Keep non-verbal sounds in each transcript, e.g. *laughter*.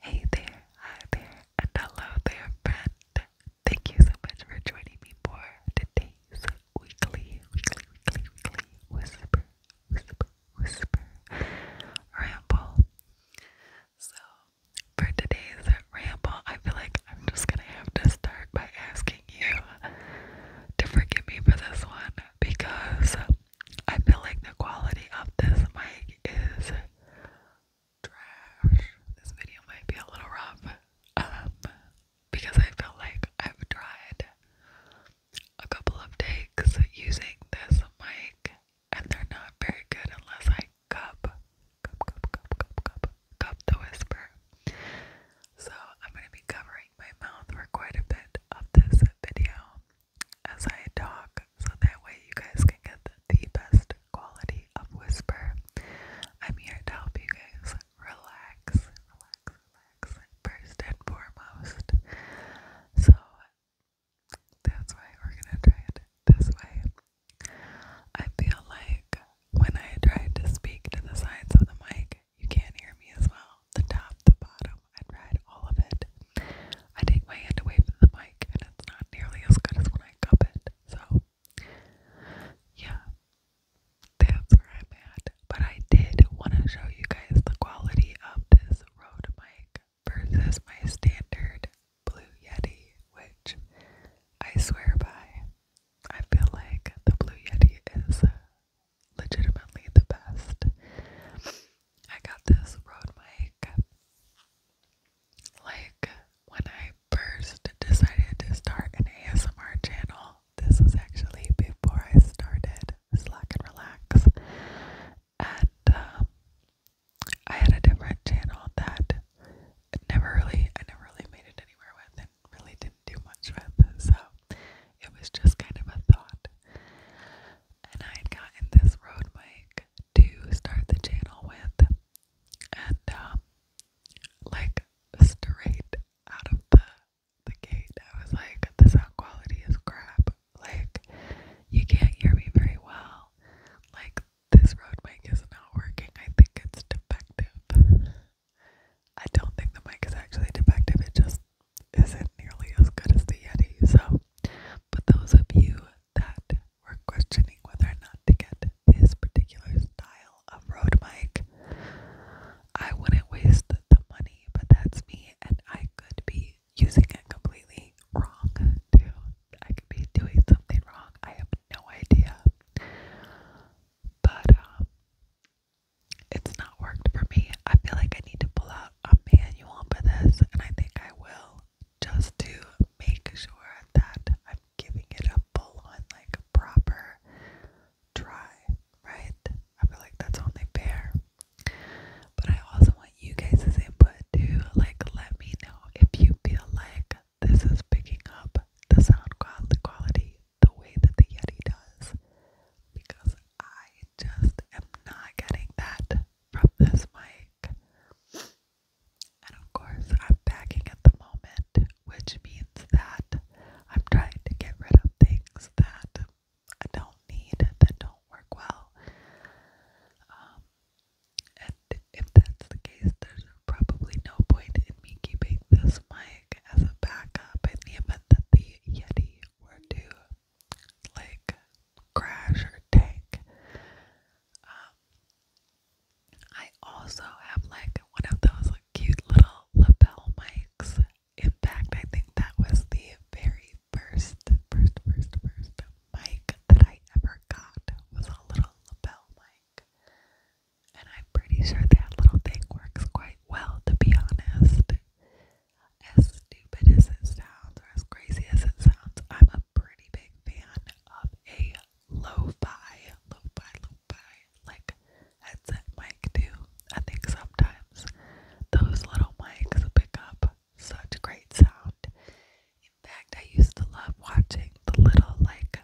Hey there, hi there, and hello there, friend. Thank you so much for joining me for today's weekly, weekly, weekly, weekly whisper, whisper, whisper ramble. So, for today's ramble, I feel like I'm just gonna have to start by asking you to forgive me for this one because I feel like the quality of this mic is trash. This video might be a little rough um, because I feel like I've tried a couple of takes using this mic and they're not very good unless I cup, cup, cup, cup, cup, cup, Cup the Whisper. So I'm going to be covering my mouth for quite a bit of this video as I talk, so that way you guys can get the best quality of whisper. I'm here to help you guys relax, relax, relax, first and foremost. So that's why we're gonna try it this way. I feel like when I tried to speak to the sides of the mic, you can't hear me as well. The top, the bottom, I tried all of it. I take my hand away from the mic, and it's not nearly as good as when I cup it. So, yeah, that's where I'm at. But I did want to show you guys the quality of this Rode mic versus my standard Blue Yeti, which I swear by. I feel like the Blue Yeti is legitimately the best. I got this road mic like when I first decided to start an ASMR channel. This was actually before I started Slack and Relax. And um, I had a different channel that never really, I never really made it anywhere with, really didn't do much with, so it was just kind of a thought. And I had gotten this road mic to start the channel with, and um, like straight out of the the gate, I was like, the sound quality is crap. Like, you can't hear me very well. Like, this road mic is not working. I think it's defective. I don't think the mic is actually defective, it just isn't nearly as good as the Yeti. So, but those of you that were questioning whether or not to get this particular style of road mic, I wouldn't waste the money, but that's me, and I could be using it completely wrong too. I could be doing something wrong. I have no idea but um, it's not worked for me. I feel like I need to pull out a manual for this, and I think I will just to make sure that I'm giving it a full on, like, proper try, right? I am like that's only fair. But I also want you guys' input too. Like, let me know if you feel like this is picking up the sound quality the way that the Yeti does because I just am not getting that from this mic. And of course, I'm backing at the moment, which means that I'm trying to get rid of things that I don't need, that don't work well. Um, and if that's the case, there's probably no point in me keeping this mic as a backup in the event that the Yeti were to like crash or tank. Um, I also have like one of those like, cute little lapel mics. In fact, I think that was the very first, first, first, first mic that I ever got was a little lapel mic. And I'm pretty sure that little thing works quite well, to be honest. As stupid as it sounds, or as crazy as it sounds, I'm a pretty big fan of a lo fi, lo fi, lo fi, like headset mic, too. I think sometimes those little mics pick up such great sound. In fact, I used to love watching the little, like,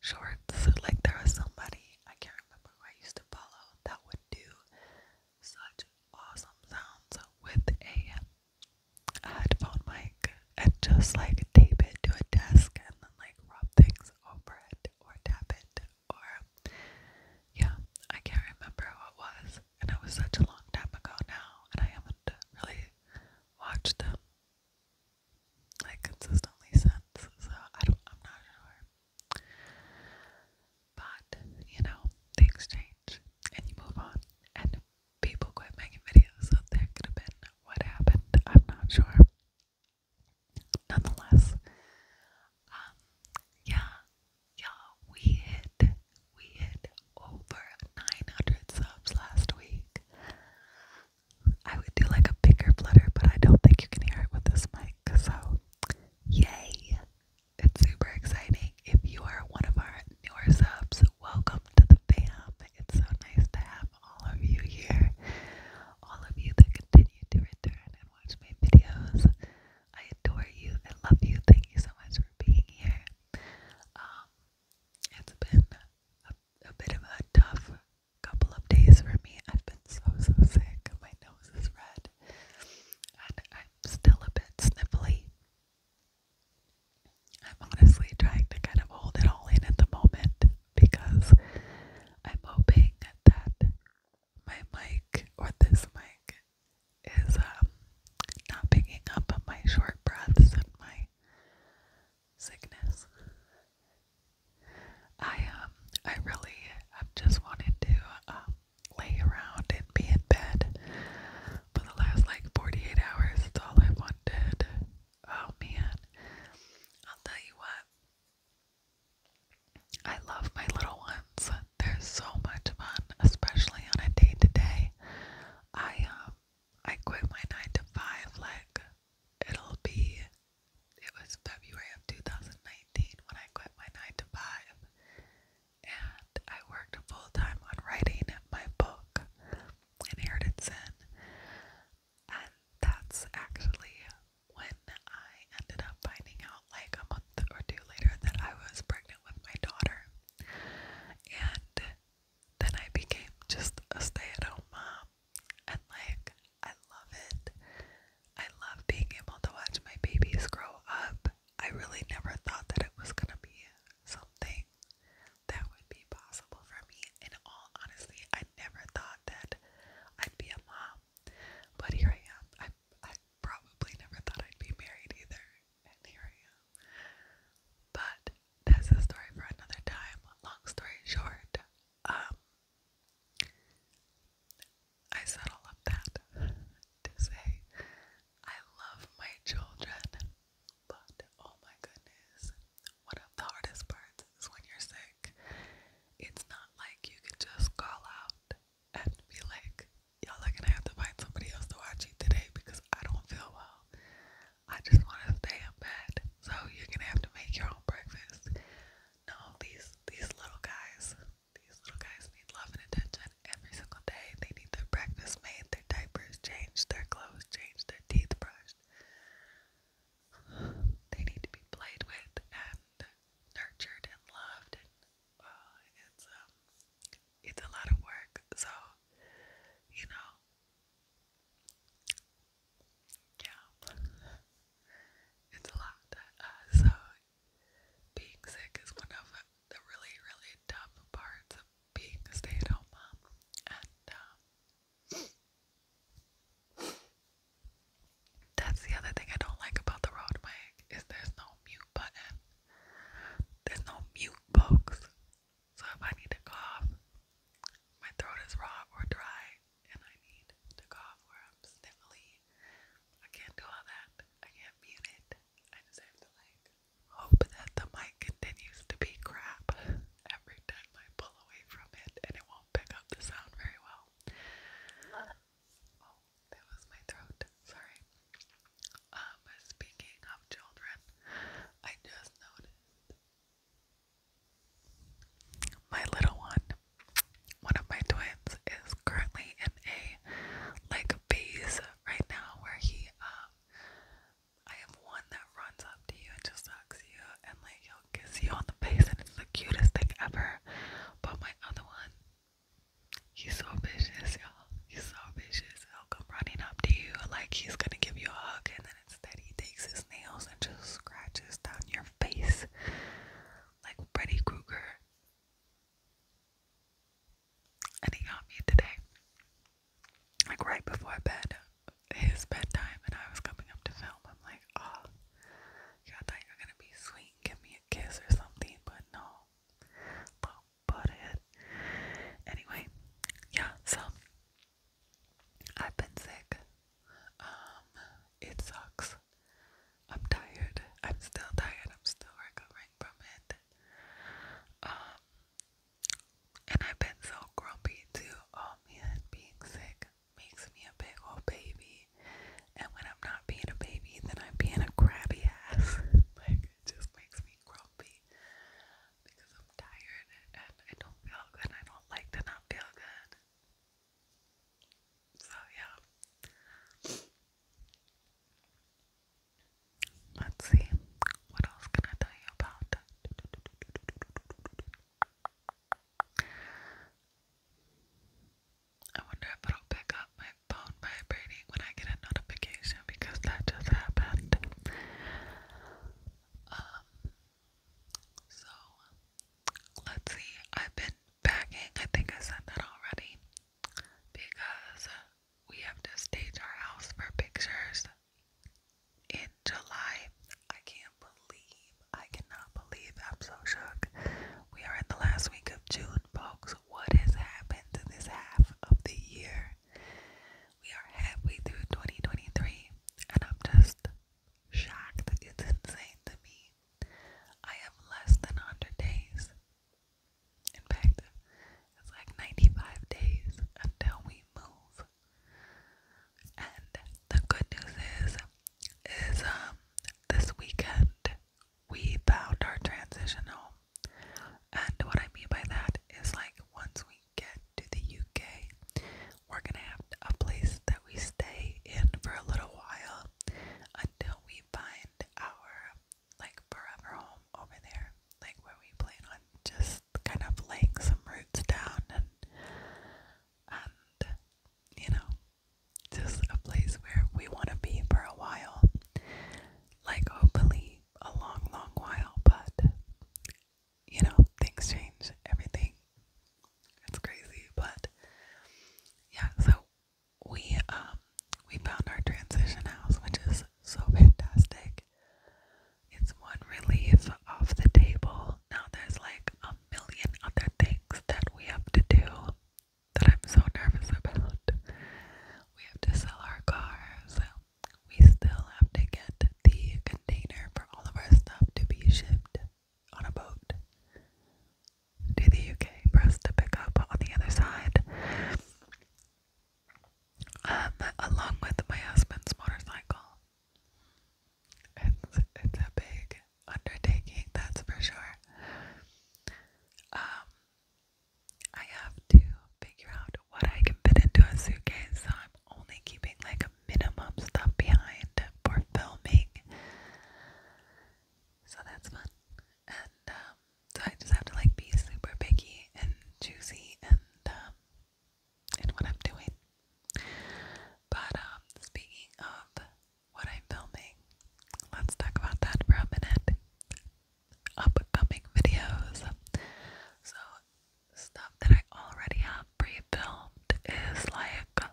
shorts. Like there was somebody I can't remember who I used to follow that would do such awesome sounds with a headphone mic and just like tape it to a desk and then like rub things over it or tap it or yeah, I can't remember who it was and it was such a long time ago now and I haven't really watched them like consistently since, so I don't I'm not sure. But, you know, things change and you move on and people quit making videos, so there could have been what happened, I'm not sure. Nonetheless, um, yeah, y'all, we hit, we hit over 900 subs last week. I would do like a bigger flutter, but I don't think you can hear it with this mic. So, yay! It's super exciting. If you are one of our newer subs, welcome to the fam. It's so nice to have all of you here, all of you that continue to return and watch my videos. I adore you. I love you. Thank you so much for being here. Um, it's been a bit of a tough couple of days for me. I've been so, so sick. My nose is red. And I'm still a bit sniffly. I'm honestly trying to kind of hold it all in at the moment because I'm hoping that my mic or this mic is um, not picking up my short breaths and my sickness. I um I really have just wanted to um, lay around and be in bed for the last like 48 hours. That's all I wanted. Oh man. I'll tell you what. I love my little ones. They're so much fun, especially on a day to day. I um I quit my nine to five like it'll be it was February of 2019 when I quit my 9 to 5 and I worked full time on writing my book Inheritance Sin and that's actually when I ended up finding out like a month or two later that I was pregnant with my daughter and then I became just a stay at home mom and like I love it. I love being able to watch my babies grow up. I really never thought that it was gonna be something that would be possible for me. And all honesty, I never thought that I'd be a mom, but here I am. I I probably never thought I'd be married either, and here I am. But that's a story for another time. Long story short, um, I said all of that to say I love my children, but oh my goodness, one of the hardest parts is when you're sick. It's not like you can just call out and be like, y'all are gonna have to find somebody else to watch you today because I don't feel well. I just want to stay in bed. So you're gonna have to make your own breakfast. No, these these little guys, these little guys need love and attention every single day. They need their breakfast made, their diapers changed, their clothes changed, their teeth brushed. They need to be played with and nurtured and loved. And uh, it's um, it's a lot of work. So you know, yeah, it's a lot. Uh, so being sick is one of the really, really tough parts of being a stay-at-home mom, and um, that's the other thing I don't like about the road mic is there's no mute button. There's no mute, folks. So if I need to cough, my throat is raw or dry, and I need to cough or I'm sniffly. I can't do all that. I can't mute it. I just have to like hope that the mic continues to be crap every time I pull away from it and it won't pick up the sound very well. Oh, that was my throat. Sorry. Um, speaking of children, I just noticed my little one, one of my twins, is currently in a like phase right now where he, um, I have one that runs up to you and just hugs you and like he'll kiss you on the face and it's the cutest thing ever. But my other one, he's so vicious, y'all. He's so vicious. He'll come running up to you like he's gonna give you a hug and then instead he takes his nails and just scratches down your face like Freddy Krueger. And he got me today, like right before bed, his bedtime, and I was coming up to film. I'm like, oh, I thought you were gonna be sweet give me a kiss or something, but no, little Anyway, yeah, so I've been sick. Um, it sucks. I'm tired. I'm still tired. I'm still recovering from it. Um, and I've been so grumpy too. Oh man, being sick makes me a big old baby. And when I'm not being a baby, then I'm being a crabby ass. *laughs* like, it just makes me grumpy because I'm tired and I don't feel good. I don't like to not feel good. So, yeah. Let's see. What else can I tell you about? I wonder if it'll pick up my phone vibrating when I get a notification because that just happened. Um, so let's see. I've been packing. I think I said that already because we have to stage our house for pictures in July. I can't believe, I cannot believe I'm so shook. We are in the last week of June, folks. What has happened to this half of the year? We are halfway through 2023, and I'm just shocked. It's insane to me. I have less than 100 days. In fact, it's like 95 days until we move. And the good news is, is um, this weekend we found our transition home. And what I mean by that is like once we get to the UK, we're gonna have a place that we stay in for a little while until we find our like forever home over there, like where we plan on just kind of laying some roots down and and you know just a place where we want to be for a while like hopefully a long long while but you know, things change, everything. It's crazy, but yeah, so we um we found our transition house, which is so fantastic. It's one relief off the table. Now there's like a million other things that we have to do that I'm so nervous about. We have to sell our cars, we still have to get the container for all of our stuff to be shipped on a boat to the UK for us to pick up on the other side. Um, along with my husband's motorcycle. It's it's a big undertaking, that's for sure. Um I have to figure out what I can fit into a suitcase, so I'm only keeping like a minimum stuff behind for filming. So that's fun. And um, so I just have to like be super picky and choosy and um, in what I'm doing. But um, speaking of what I'm filming, let's talk about that for a minute. Upcoming videos. So stuff that I already have pre-filmed is like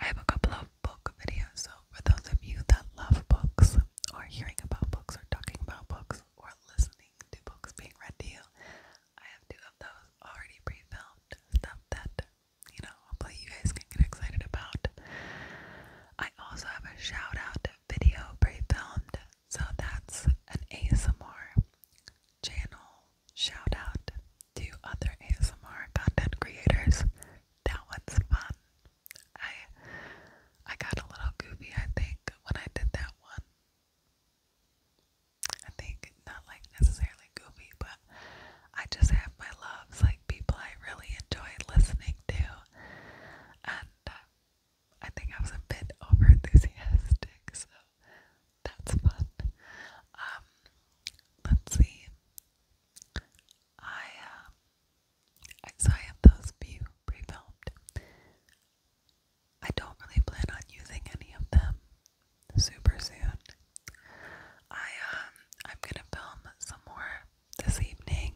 I have a couple of book videos. So for those of you that love books or hearing about books or talking about books or listening to books being read to you, I have two of those already pre stuff that you know hopefully you guys can get excited about. I also have a shout video pre-filmed so that's an ASMR channel shout out to other ASMR content creators. That one's fun. I I got a little goofy I think when I did that one. I think not like necessarily goofy, but I just have my loves, like people I really enjoy listening to. And I think I was a bit over enthusiastic, so that's fun. Um, let's see. Um, I so I have those few pre-filmed. I don't really plan on using any of them super soon. I um, I'm gonna film some more this evening.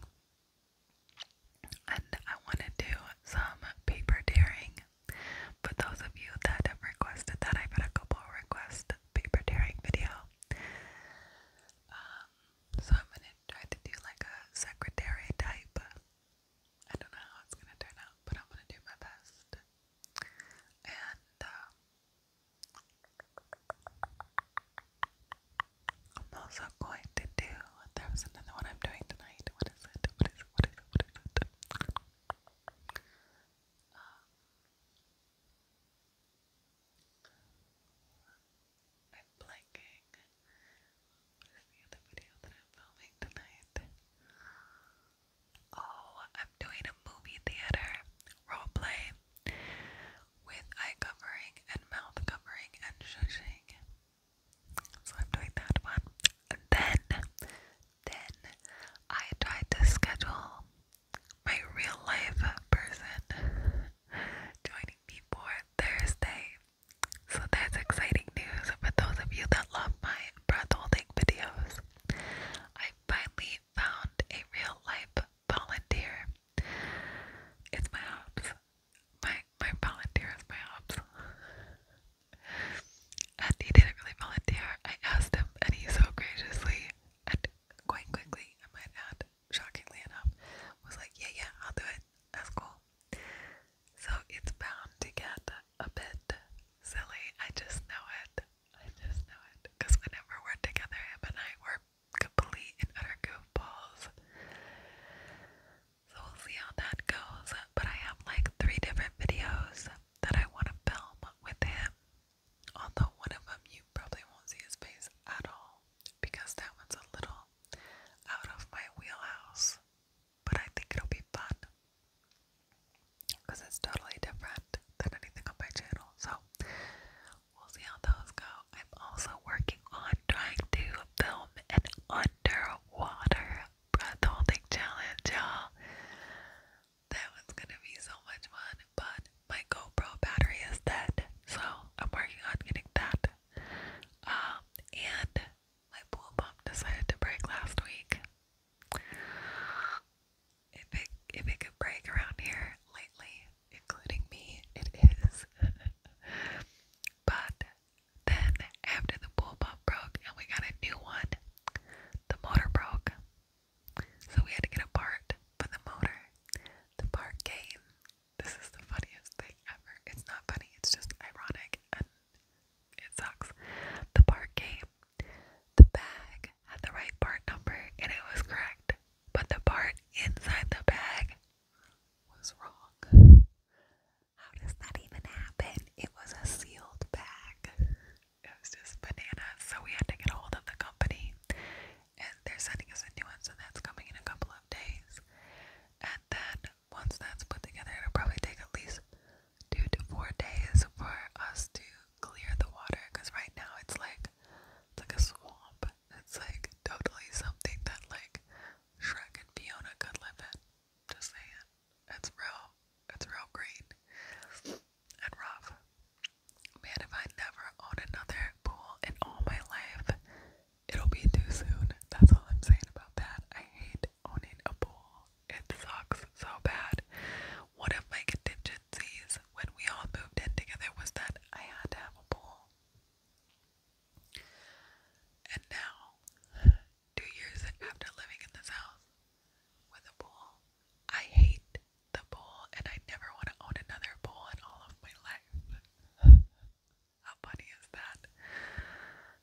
And I want to do some paper tearing. For those of you that have requested that, I've had a couple request paper tearing video. Um, so I'm gonna try to do like a secretary type. I don't know how it's gonna turn out, but I'm gonna do my best. And um, I'm also going to do. There another one I'm doing tonight is it? I'm blanking. What is the video that I'm filming tonight? Oh, I'm doing a movie theater role play with eye covering and mouth covering and shushing. So I'm doing that one. then, then I tried to schedule my real life person joining me for Thursday. So that's exciting news for those of you that love my breath holding videos. I finally found a real life volunteer. It's my house my my volunteer my ops. and he didn't really volunteer. I asked him and he so graciously and quite quickly, I might add, shockingly enough, was like, Yeah, yeah, I'll do it. That's cool. So it's bound to get a bit silly. I just know it. I just know it. Because whenever we're together, him and I were complete and utter goofballs. So we'll see how that goes. But I have like three different videos that I want to film with him. Although one of them you probably won't see his face at all because that one's a little out of my wheelhouse. But I think it'll be fun because it's totally different than anything on my channel. So we'll see how those go. I'm also working on trying to film an under water breathholding challenge, y'all. That was gonna be so much fun, but my GoPro battery is dead, so I'm working on getting that. Um, and my pool pump decided to break last week. If it if it could break around here lately, including me, it is. *laughs* but then, after the pool pump broke and we got a new one, the motor broke. So we had to get a part for the motor. The part came. This is the funniest thing ever. It's not funny, it's just ironic and it sucks. The part came. The bag had the right part number and it was correct, but the part inside the bag was wrong. How does that even happen? It was a sealed bag. It was just bananas. So we had to get a hold of the company. And they're sending us a new one, so that's coming in a couple of days. And then once that's put together, it'll probably take at least two to four days for us to clear the water. Because right now it's like like a swamp. It's like totally something that like Shrek and Fiona could live it. Just saying. It's real. It's real green and rough. Man, if I never own another pool in all my life, it'll be too soon. That's all I'm saying about that. I hate owning a pool. It sucks so bad. One of my contingencies when we all moved in together was that I had to have a pool. And now, two years after living in this house with a pool, I hate the pool and I never want to own another pool in all of my life. *laughs* How funny is that?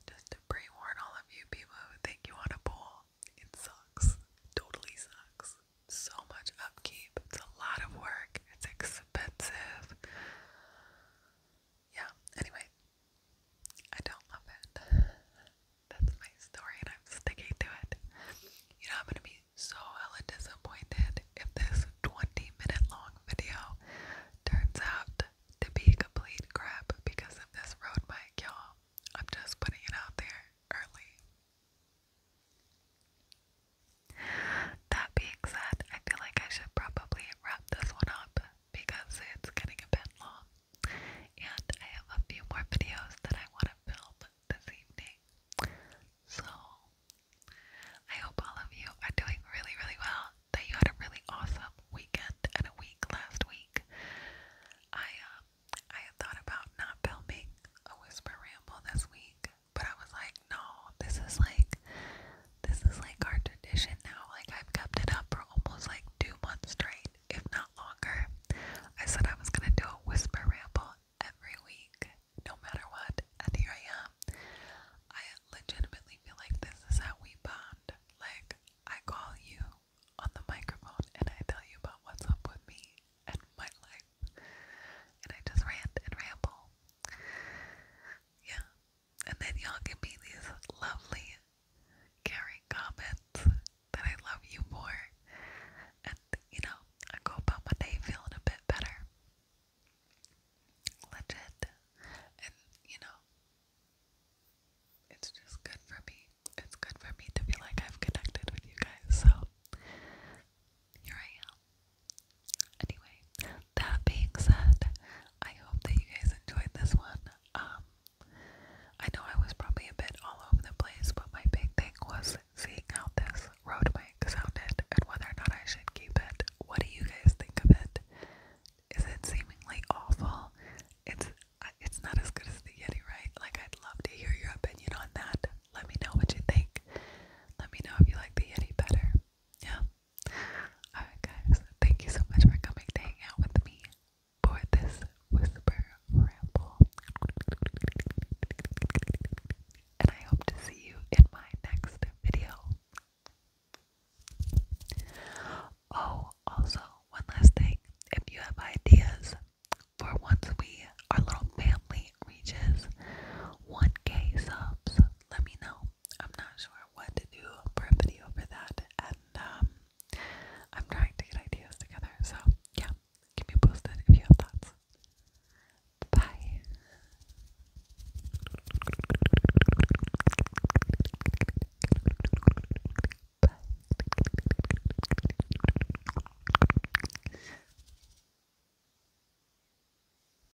Just to pre all of you people who think you want a pool, it sucks. Totally sucks. So much upkeep. It's a lot of work. It's expensive yeah, anyway, I don't love it. *laughs* That's my story, and I'm sticking to it. You know, I'm gonna be so hella disappointed if this 20 minute long video turns out to be complete crap because of this road mic, y'all. I'm just putting it out there early. That being said, I feel like I should probably wrap this one up because it's getting a bit long. And I have a few more videos that I want to film this evening. So, I hope all of you are doing really, really well. That you had a really awesome weekend and a week last week. I, um, I had thought about not filming a whisper ramble this week, but I was like, no, this is like, this is like our tradition now. Like, I've kept it up for almost like two months straight, if not longer. I said I was gonna do a whisper ramble every week, no matter what, and here I am. I legitimately feel like this is how we bond. Like, I call you on the microphone and I tell you about what's up with me and my life. And I just rant and ramble. Yeah, and then y'all can be these lovely, caring comments that I love you more. And, you know, I go about my day feeling a bit better. Legit. And, you know, it's just good for me. It's good for me to feel like I've connected with you guys. So, here I am. Anyway, that being said, I hope that you guys enjoyed this one. Um, I know I was probably a bit all over the place, but my big thing was seeing how this road mic sounded and whether or not I should keep it. What do you guys think of it? Is it seemingly awful? It's it's not as good as the Yeti, right? Like I'd love to hear your opinion on that. Let me know what you think. Let me know if you like the Yeti better. Yeah. Alright, guys, thank you so much for coming to hang out with me for this whisper ramble. And I hope to see you in my next video. Oh, also, one last thing if you have ideas for once we, our little family, reaches 1k subs, let me know. I'm not sure what to do for a video for that, and um, I'm trying to get ideas together. So, yeah, keep me posted if you have thoughts. Bye. Bye.